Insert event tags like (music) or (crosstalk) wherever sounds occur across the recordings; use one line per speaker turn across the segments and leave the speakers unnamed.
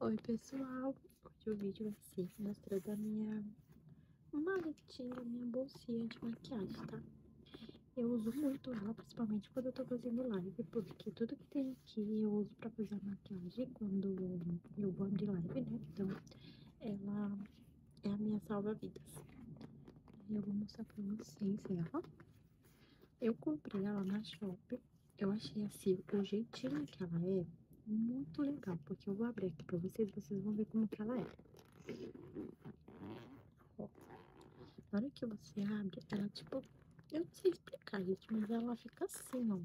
Oi pessoal, hoje o vídeo vai ser mostrando a minha maletinha, minha bolsinha de maquiagem, tá? Eu uso muito ela, principalmente quando eu tô fazendo live, porque tudo que tem aqui eu uso pra fazer a maquiagem quando eu vou de live, né? Então, ela é a minha salva-vidas. E eu vou mostrar pra vocês ela. Eu comprei ela na Shopee. Eu achei assim, o jeitinho que ela é, muito legal. Porque eu vou abrir aqui pra vocês, vocês vão ver como que ela é. Ó. Na hora que você abre, ela tipo... Eu não sei explicar, gente, mas ela fica assim, ó.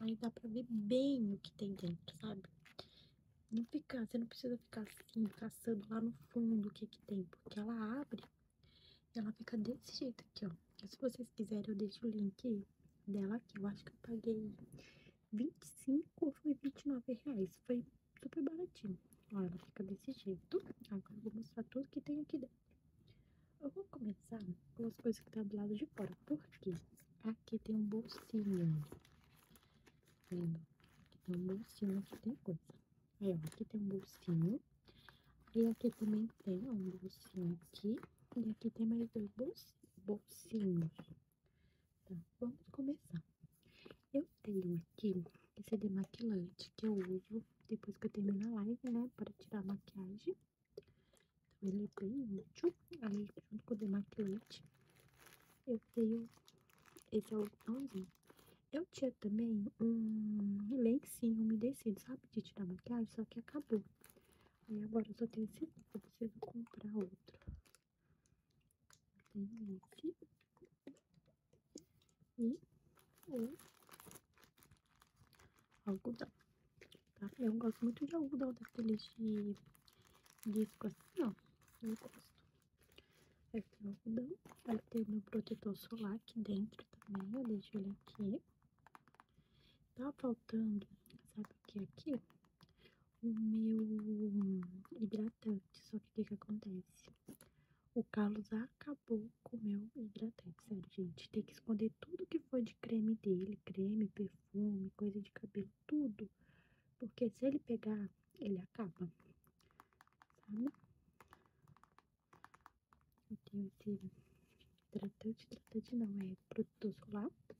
Aí dá pra ver bem o que tem dentro, sabe? Não fica, você não precisa ficar assim, caçando lá no fundo o que que tem, porque ela abre e ela fica desse jeito aqui, ó. Se vocês quiserem, eu deixo o link dela aqui. Eu acho que eu paguei 25 ou foi 29 reais. Foi super baratinho. Ó, ela fica desse jeito. Agora eu vou mostrar tudo que tem aqui dentro. Eu vou começar com as coisas que tá do lado de fora. Porque aqui tem um bolsinho. Aqui tem um bolsinho, aqui tem coisa. Aí, ó, aqui tem um bolsinho. E aqui também tem um bolsinho aqui. E aqui tem mais dois bolsinhos. Tá, vamos começar. Eu tenho aqui esse é demaquilante que eu uso depois que eu termino a live, né? Para tirar a maquiagem. Então, ele é bem útil. Aí, junto com o demaquilante, eu tenho esse algodãozinho. Eu tinha também um lencinho umedecido, sabe? De tirar maquiagem, só que acabou. Aí agora eu só tenho esse, eu preciso comprar outro. tenho esse. E o algodão. Tá? Eu gosto muito de algodão daqueles de disco assim, ó, eu gosto. esse tem o algodão, aí tem o meu protetor solar aqui dentro também, eu deixo ele aqui. Tá faltando, sabe o que é aqui? O meu hidratante, só que o que que acontece? O Carlos acabou com o meu hidratante, sério, gente. Tem que esconder tudo que foi de creme dele, creme, perfume, coisa de cabelo, tudo. Porque se ele pegar, ele acaba. Sabe? Eu tenho esse hidratante, hidratante não, é produto solar, tá?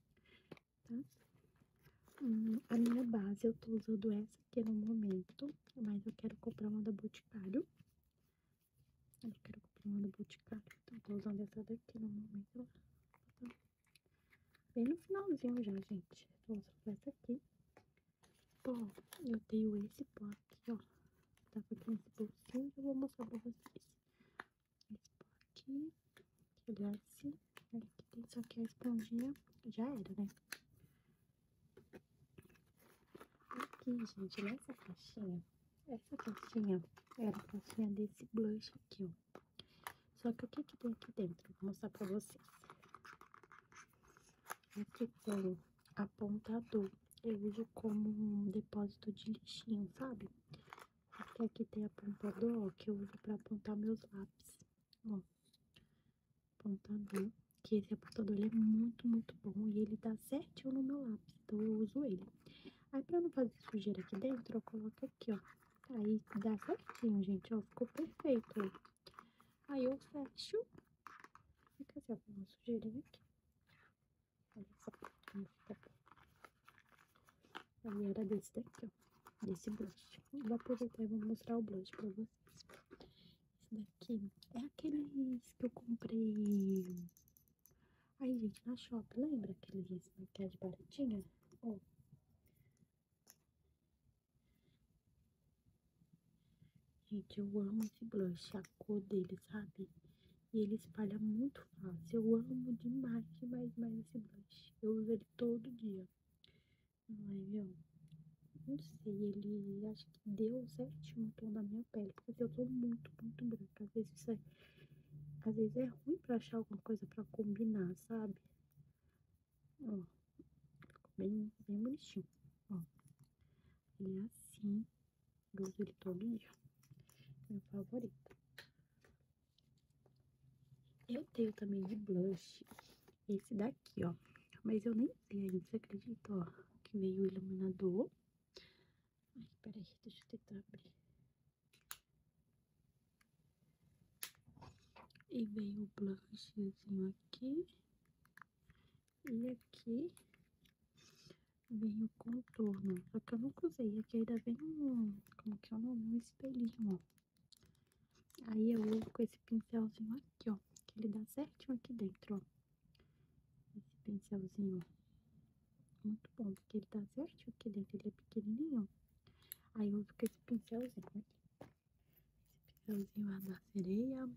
Hum, a minha base, eu tô usando essa aqui no momento, mas eu quero comprar uma da Boticário. Eu quero comprar uma da Boticário, então eu tô usando essa daqui no momento. Tá? Bem no finalzinho já, gente. vou mostrar só começa aqui. Bom, eu tenho esse pó aqui, ó. Tava tá aqui nesse bolsinho que eu vou mostrar pra vocês. Esse pó aqui. Ele é assim. Aqui né, tem só que a esponjinha. Já era, né? Aqui, gente, essa caixinha. Essa caixinha era a caixinha desse blush aqui, ó. Só que o que, tem aqui dentro? Vou mostrar pra vocês. Aqui tem apontador. Eu uso como um depósito de lixinho, sabe? aqui tem apontador, ó, que eu uso pra apontar meus lápis. Ó, apontador. Que esse apontador é muito, muito bom e ele dá certinho no meu lápis, então eu uso ele. Aí, pra não fazer sujeira aqui dentro, eu coloco aqui, ó. Tá aí dá certinho, gente, ó. Ficou perfeito, ó. Aí eu fecho. Fica assim, vou Com uma sujeirinha aqui. Olha só como fica. Aí era desse daqui, ó. Desse blush. vou aproveitar e vou mostrar o blush pra vocês. Esse daqui é aqueles que eu comprei... Aí, gente, na shop, lembra aqueles maquiagem é baratinha? Ó, Gente, eu amo esse blush, a cor dele, sabe? ele espalha muito fácil. Eu amo demais, demais, demais esse blush. Eu uso ele todo dia. Mas, eu não sei, ele acho que deu certinho o tom da minha pele. Porque eu sou muito, muito branca. Às vezes, é, às vezes é ruim pra achar alguma coisa pra combinar, sabe? Ó, ficou bem, bem bonitinho, ó. Ele é assim, eu uso ele meu favorito. Eu tenho também de blush esse daqui, ó. Mas eu nem sei ainda, você acredita, ó, que meio o iluminador. Ai, peraí, deixa eu tentar abrir. E vem o blushzinho aqui. E aqui vem o contorno. Só que eu nunca usei. Aqui ainda vem um. Como que é o nome? Um espelhinho, ó. Aí eu uso com esse pincelzinho aqui, ó. Que ele dá certinho aqui dentro, ó. Esse pincelzinho, ó. Muito bom, porque ele dá certinho aqui dentro. Ele é pequenininho, ó. Aí eu vou ficar esse pincelzinho aqui. Esse pincelzinho da sereia.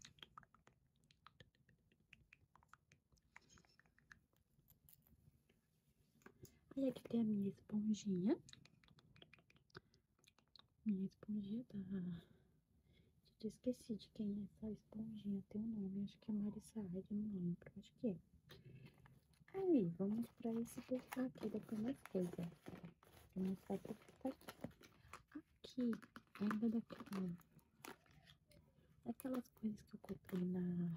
Aí aqui tem a minha esponjinha. Minha esponjinha da... Tá. Eu esqueci de quem é essa esponjinha, tem o nome, acho que é Marisa Aide, não lembro, acho que é. Aí, vamos para esse perfil da primeira coisa. Vou mostrar aqui. Aqui, ainda daquela... aquelas coisas que eu comprei na...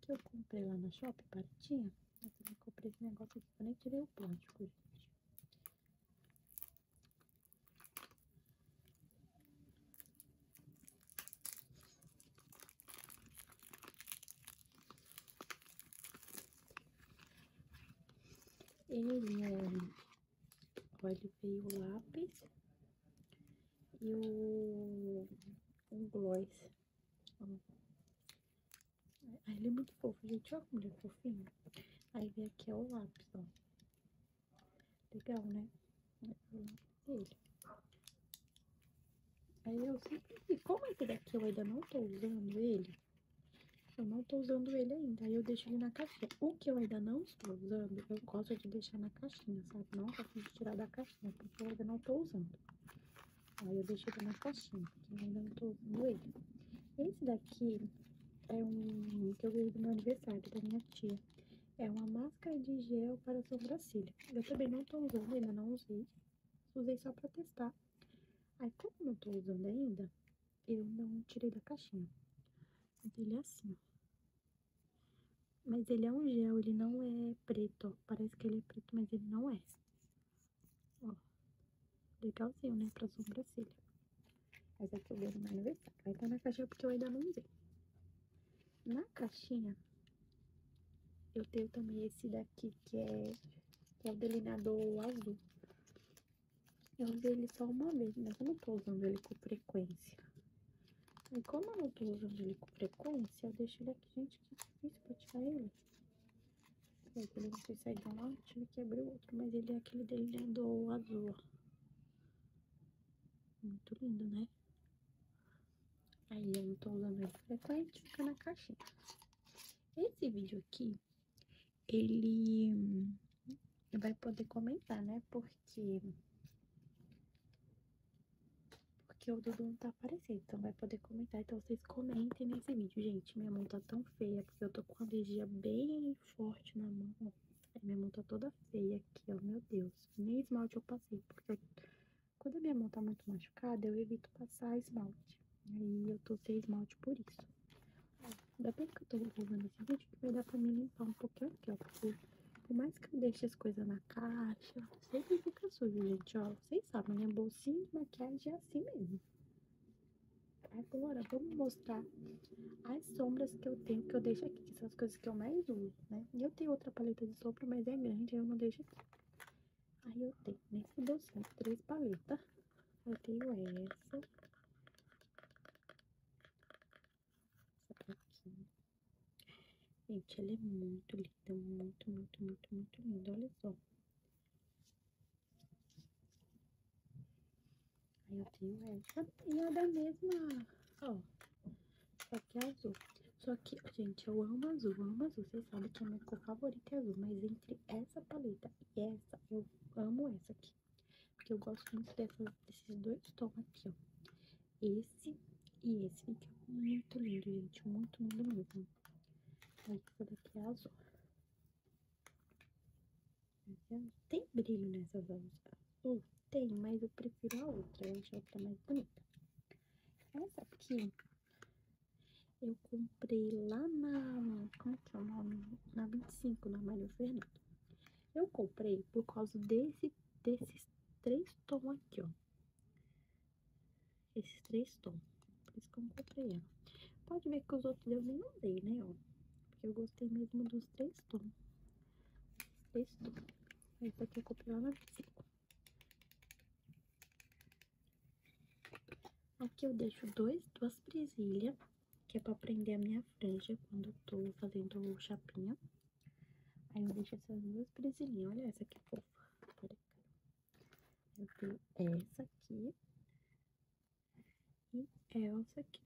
Que eu comprei lá na Shopping, baratinha. Eu comprei esse negócio aqui, eu nem tirei o plástico, gente. Ele é... Olha, veio o lápis e o, o gloss. Aí ele é muito fofo, gente. Olha como ele é fofinho. Aí vem aqui é o lápis, ó. Legal, né? É o lápis dele. Aí eu sempre, como esse é daqui eu ainda não tô usando ele, eu não tô usando ele ainda, aí eu deixo ele na caixinha. O que eu ainda não estou usando, eu gosto de deixar na caixinha, sabe? Não gosto de tirar da caixinha, porque eu ainda não tô usando. Aí eu deixo ele na caixinha, porque eu ainda não tô usando ele. Esse daqui é um que eu ganhei no meu aniversário, da minha tia. É uma máscara de gel para sobrancelha. Eu também não tô usando, ainda não usei. Usei só pra testar. Aí, como eu não tô usando ainda, eu não tirei da caixinha. Mas ele é assim, ó. Mas ele é um gel, ele não é preto, ó. Parece que ele é preto, mas ele não é. Ó. Legalzinho, né? Pra sobrancelha. Mas é que eu ganhei no meu aniversário. Vai estar na caixinha porque eu ainda não usei. Na caixinha, eu tenho também esse daqui que é, é o delineador azul. Eu usei ele só uma vez, mas eu não tô usando ele com frequência. E como eu não tô usando ele com frequência, eu deixo ele aqui, gente, que difícil pra tirar ele. Aí é, quando sei sair é de um lado, tive que abrir o outro, mas ele é aquele delineador azul, ó. Muito lindo, né? Aí eu não tô usando ele frequente, fica na caixinha. Esse vídeo aqui, ele hum, vai poder comentar, né? Porque. Porque o Dudu não tá aparecendo, então vai poder comentar. Então vocês comentem nesse vídeo, gente. Minha mão tá tão feia, porque eu tô com alergia bem forte na mão. minha mão tá toda feia aqui, ó. Meu Deus. Nem esmalte eu passei, porque quando a minha mão tá muito machucada, eu evito passar esmalte. Aí eu tô sem esmalte por isso. Ainda bem que eu tô gravando esse vídeo, que vai dar pra mim limpar um pouquinho aqui, ó. Porque por mais que eu deixe as coisas na caixa, sempre fica sujo, gente, ó. Vocês sabem, minha bolsinha de maquiagem é assim mesmo. Agora, vamos mostrar as sombras que eu tenho, que eu deixo aqui, que são as coisas que eu mais uso, né? E eu tenho outra paleta de sombra, mas é grande, eu não deixo aqui. Aí eu tenho nesse bolsinho três paletas. Tá? Eu tenho essa. Essa aqui. Gente, ela é muito linda. Muito, muito, muito, muito linda. Olha só. Aí eu tenho essa. E a da mesma, ó. Só que é azul. Só que, gente, eu amo azul, amo azul. Vocês sabem que a minha cor favorita é azul. Mas entre essa paleta e essa, eu amo essa aqui. Porque eu gosto muito desses dois tons aqui, ó. Esse e esse fica é muito lindo, gente. Muito lindo mesmo. Aí, essa daqui é azul. Tem brilho nessas olhos. Uh, hum, tem, mas eu prefiro a outra. Eu acho a outra mais bonita. Essa aqui eu comprei lá na. Como é que é o nome? Na 25, na Mário Fernando. Eu comprei por causa desse, desses três tons aqui, ó. Esses três tons. Por isso que eu comprei ela. Pode ver que os outros eu nem andei, né, ó. Porque eu gostei mesmo dos três tons. Esses três tons. Essa aqui eu comprei lá na 25. Aqui eu deixo dois, duas presilhas, que é para prender a minha franja quando eu tô fazendo o chapinha. Aí eu deixo essas duas presilhinhas, olha essa que fofa. Eu tenho essa aqui e essa aqui.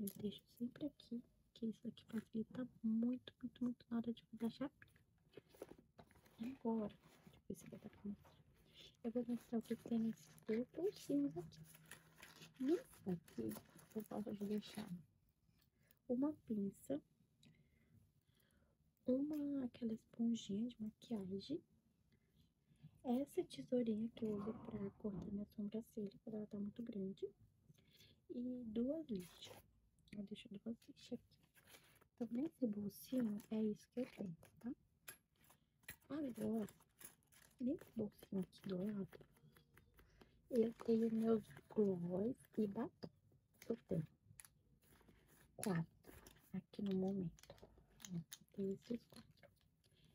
Eu deixo sempre aqui, que isso aqui facilita muito, muito, muito na hora de fazer a chapinha. Agora, deixa eu ver se vai dar pra mostrar. Eu vou mostrar o que tem nesses dois peixinhos aqui. Nesse aqui, eu de deixar uma pinça, uma aquela esponjinha de maquiagem, essa tesourinha que eu uso pra cortar minha sobrancelha, quando ela tá muito grande, e duas lixas. Eu deixo duas lixas aqui. Então, nesse bolsinho, é isso que eu tenho, tá? Agora, nesse bolsinho aqui do lado, eu tenho meus gloss e batom. Eu tenho quatro aqui no momento. Tem esses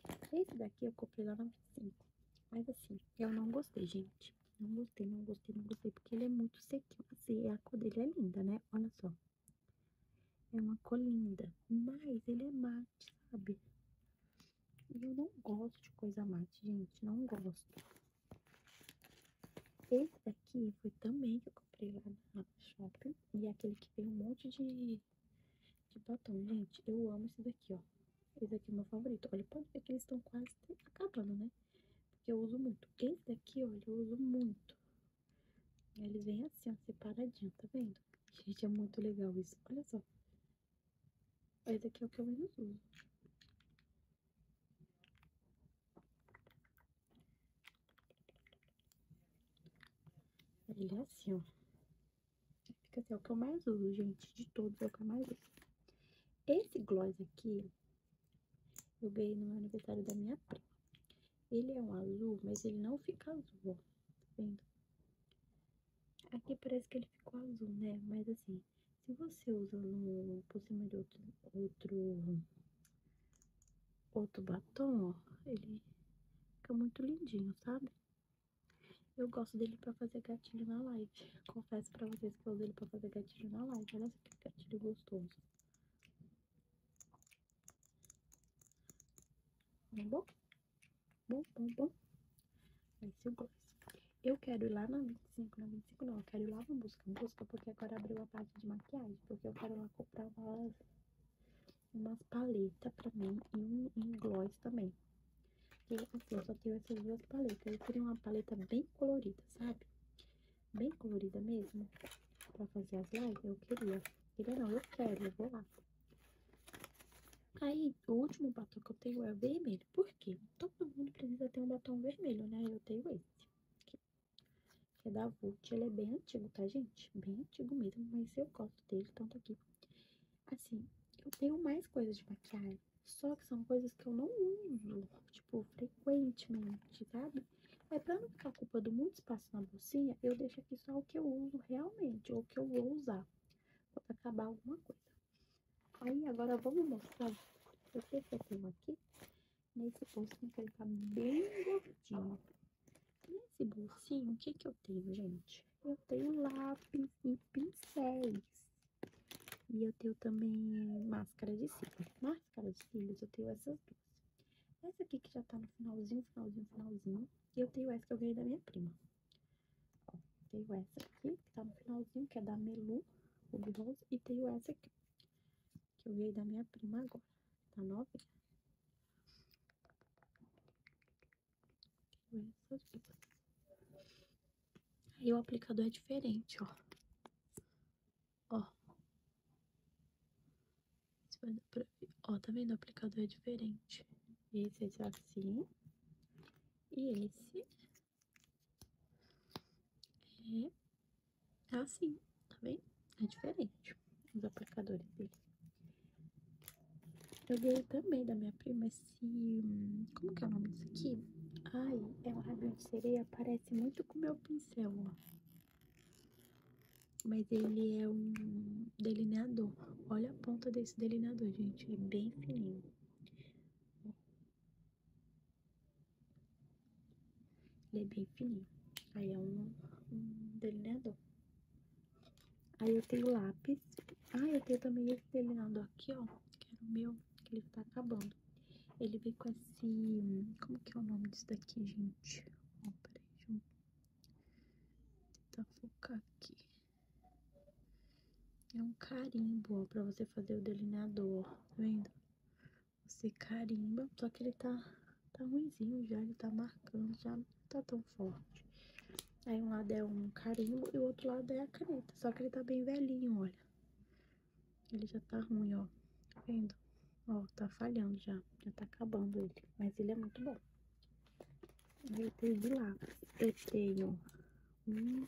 quatro. Esse daqui eu comprei lá no 25. Mas assim, eu não gostei, gente. Não gostei, não gostei, não gostei, porque ele é muito sequinho. Assim, a cor dele é linda, né? Olha só. É uma cor linda, mas ele é mate, sabe? E eu não gosto de coisa mate, gente, não gosto. Esse daqui foi também que eu comprei lá no shopping. E é aquele que tem um monte de, de batom, gente. Eu amo esse daqui, ó. Esse daqui é o meu favorito. Olha, pode ver que eles estão quase acabando, né? Porque eu uso muito. Esse daqui, tá olha, eu uso muito. eles vêm assim, separadinho, tá vendo? Gente, é muito legal isso. Olha só. Esse daqui é o que eu menos uso. Ele é assim, ó. Fica assim, é o que eu mais uso, gente. De todos, é o que eu mais uso. Esse gloss aqui, eu ganhei no meu aniversário da minha prima. Ele é um azul, mas ele não fica azul, vendo? Aqui parece que ele ficou azul, né? Mas assim, se você usa um por cima de outro, outro, outro batom, ó, ele fica muito lindinho, sabe? Eu gosto dele pra fazer gatilho na live. (laughs) Confesso pra vocês que eu uso ele pra fazer gatilho na live. Olha nossa, que gatilho gostoso. Tá bom? Bom, bom, bom. Esse é o dois. Eu quero ir lá na 25, na 25 não, eu quero ir lá na buscar busca, porque agora abriu a parte de maquiagem, porque eu quero lá comprar umas, umas paletas pra mim e um, gloss também. o Porque aqui assim, eu só tenho essas duas paletas, eu queria uma paleta bem colorida, sabe? bem colorida mesmo, pra fazer as lives, eu queria. Queria não, eu quero, eu vou lá. Aí, o último batom que eu tenho é o vermelho. Por quê? Todo mundo precisa ter um batom vermelho, né? Eu tenho esse. Que é da Vult. Ele é bem antigo, tá, gente? Bem antigo mesmo, mas eu gosto dele, tanto aqui. Assim, eu tenho mais coisas de maquiagem. Só que são coisas que eu não uso, tipo, frequentemente, sabe? Mas é pra não ficar ocupando muito espaço na bolsinha, eu deixo aqui só o que eu uso realmente, ou o que eu vou usar. Pra acabar alguma coisa. Aí, agora vamos mostrar o que eu tenho aqui. Nesse bolsinho que ele tá bem gordinho. Nesse bolsinho, o que que eu tenho, gente? Eu tenho lápis e pincéis. E eu tenho também máscara de cílios. Máscara de cílios, eu tenho essas duas. Essa aqui que já tá no finalzinho, finalzinho, finalzinho. E eu tenho essa que eu ganhei da minha prima. Ó, tenho essa aqui, que tá no finalzinho, que é da Melu, o bronze. E tenho essa aqui, que eu ganhei da minha prima agora. Tá novinha. Tenho essas duas. E o aplicador é diferente, ó. Ó. Ó, tá vendo? O aplicador é diferente. Esse é assim. E esse é assim, tá vendo? É diferente os aplicadores dele. Eu ganhei também da minha prima esse... Hum, como que é o nome disso aqui? Ai, é um rabinho de sereia, parece muito com o meu pincel, ó. Mas ele é um delineador. Olha a ponta desse delineador, gente. É bem fininho. Ele é bem fininho. Aí é um, um delineador. Aí eu tenho lápis. Ah, eu tenho também esse delineador aqui, ó. Que era o meu, que ele tá acabando. Ele vem com esse. Como que é o nome disso daqui, gente? Ó, peraí, deixa eu tentar focar aqui. É um carimbo, ó, pra você fazer o delineador, tá vendo? Você carimba, só que ele tá, tá ruimzinho já, ele tá marcando, já não tá tão forte. Aí um lado é um carimbo e o outro lado é a caneta, só que ele tá bem velhinho, olha. Ele já tá ruim, ó. Tá vendo? Ó, tá falhando já. Já tá acabando ele. Mas ele é muito bom. Eu tenho de lá. Eu tenho um.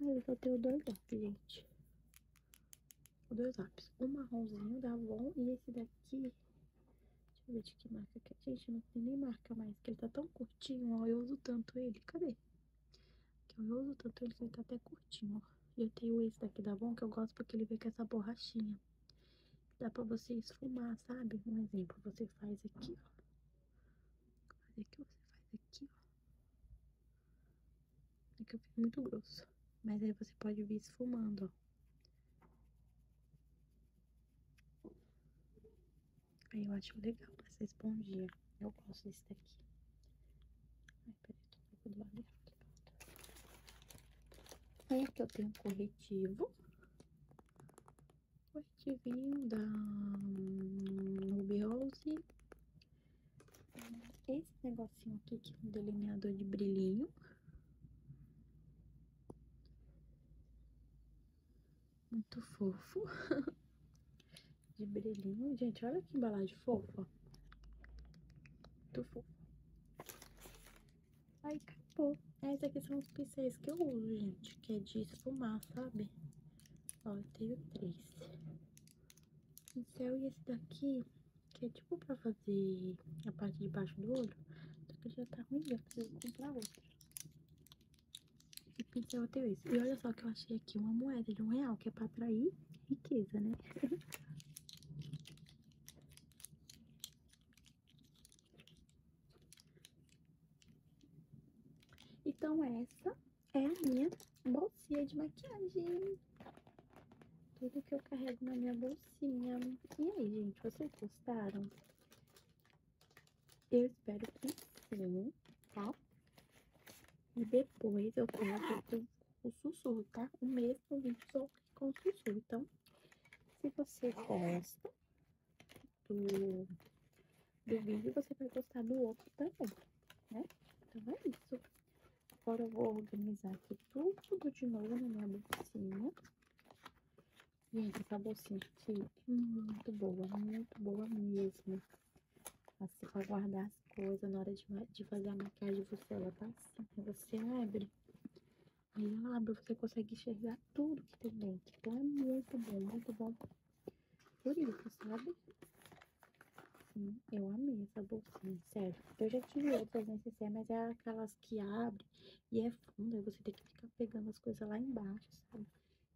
Mas ah, eu só tenho dois lápis, gente. Dois lápis. Um marronzinho dá bom e esse daqui. Deixa eu ver de que marca que é. Gente, não tem nem marca mais, que ele tá tão curtinho, ó. Eu uso tanto ele. Cadê? Que eu uso tanto ele que ele tá até curtinho, ó. eu tenho esse daqui da bom que eu gosto porque ele vem com essa borrachinha. Dá pra você esfumar, sabe? Um exemplo, você faz aqui, ó. Faz aqui, você faz aqui, ó. É que eu fiz muito grosso. Mas aí você pode vir esfumando, ó. Aí eu acho legal essa esponjinha. Eu gosto desse daqui. Ai, peraí, tô um pouco do lado Aí que eu tenho um corretivo. Corretivinho da hum, Ruby Rose. Esse negocinho aqui que é um delineador de brilhinho. Muito fofo. (laughs) de brilhinho. Gente, olha que embalagem fofa. Muito fofa. Aí acabou. Esses aqui são os pincéis que eu uso, gente. Que é de esfumar, sabe? Ó, eu tenho três. Pincel e esse daqui, que é tipo pra fazer a parte de baixo do olho. Só que já tá ruim, eu preciso comprar outro. E pincel eu tenho esse. E olha só que eu achei aqui uma moeda de um real, que é pra atrair riqueza, né? Então, essa é a minha bolsinha de maquiagem. Tudo que eu carrego na minha bolsinha. E aí, gente, vocês gostaram? Eu espero que sim, tá? E depois eu coloco o sussurro, tá? O mesmo vídeo só com o sussurro. Então, se você gosta do, do vídeo, você vai gostar do outro também, né? Então é isso. Agora eu vou organizar aqui tudo de novo na minha bolsinha. Gente, essa bolsinha aqui é muito boa, muito boa mesmo assim, pra guardar as coisas, na hora de, fazer a maquiagem, você, ela tá assim, você abre, aí ela abre, você consegue enxergar tudo que tem dentro, então é muito bom, muito bom, por isso, sabe? Sim, eu amei essa bolsinha, sério, eu já tive outras necessárias, mas é aquelas que abre e é funda, aí você tem que ficar pegando as coisas lá embaixo, sabe?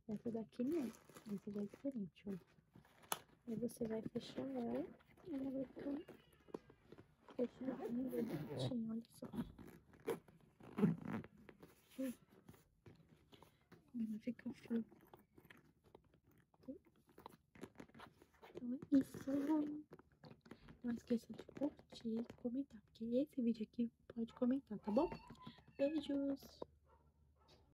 Essa daqui não, essa é diferente, ó. Aí você vai fechar ela, ela vai ficar fechadinha, bonitinha, olha só. Como fica o fio. Então é isso. Não esqueça de curtir e comentar, porque esse vídeo aqui pode comentar, tá bom? Beijos!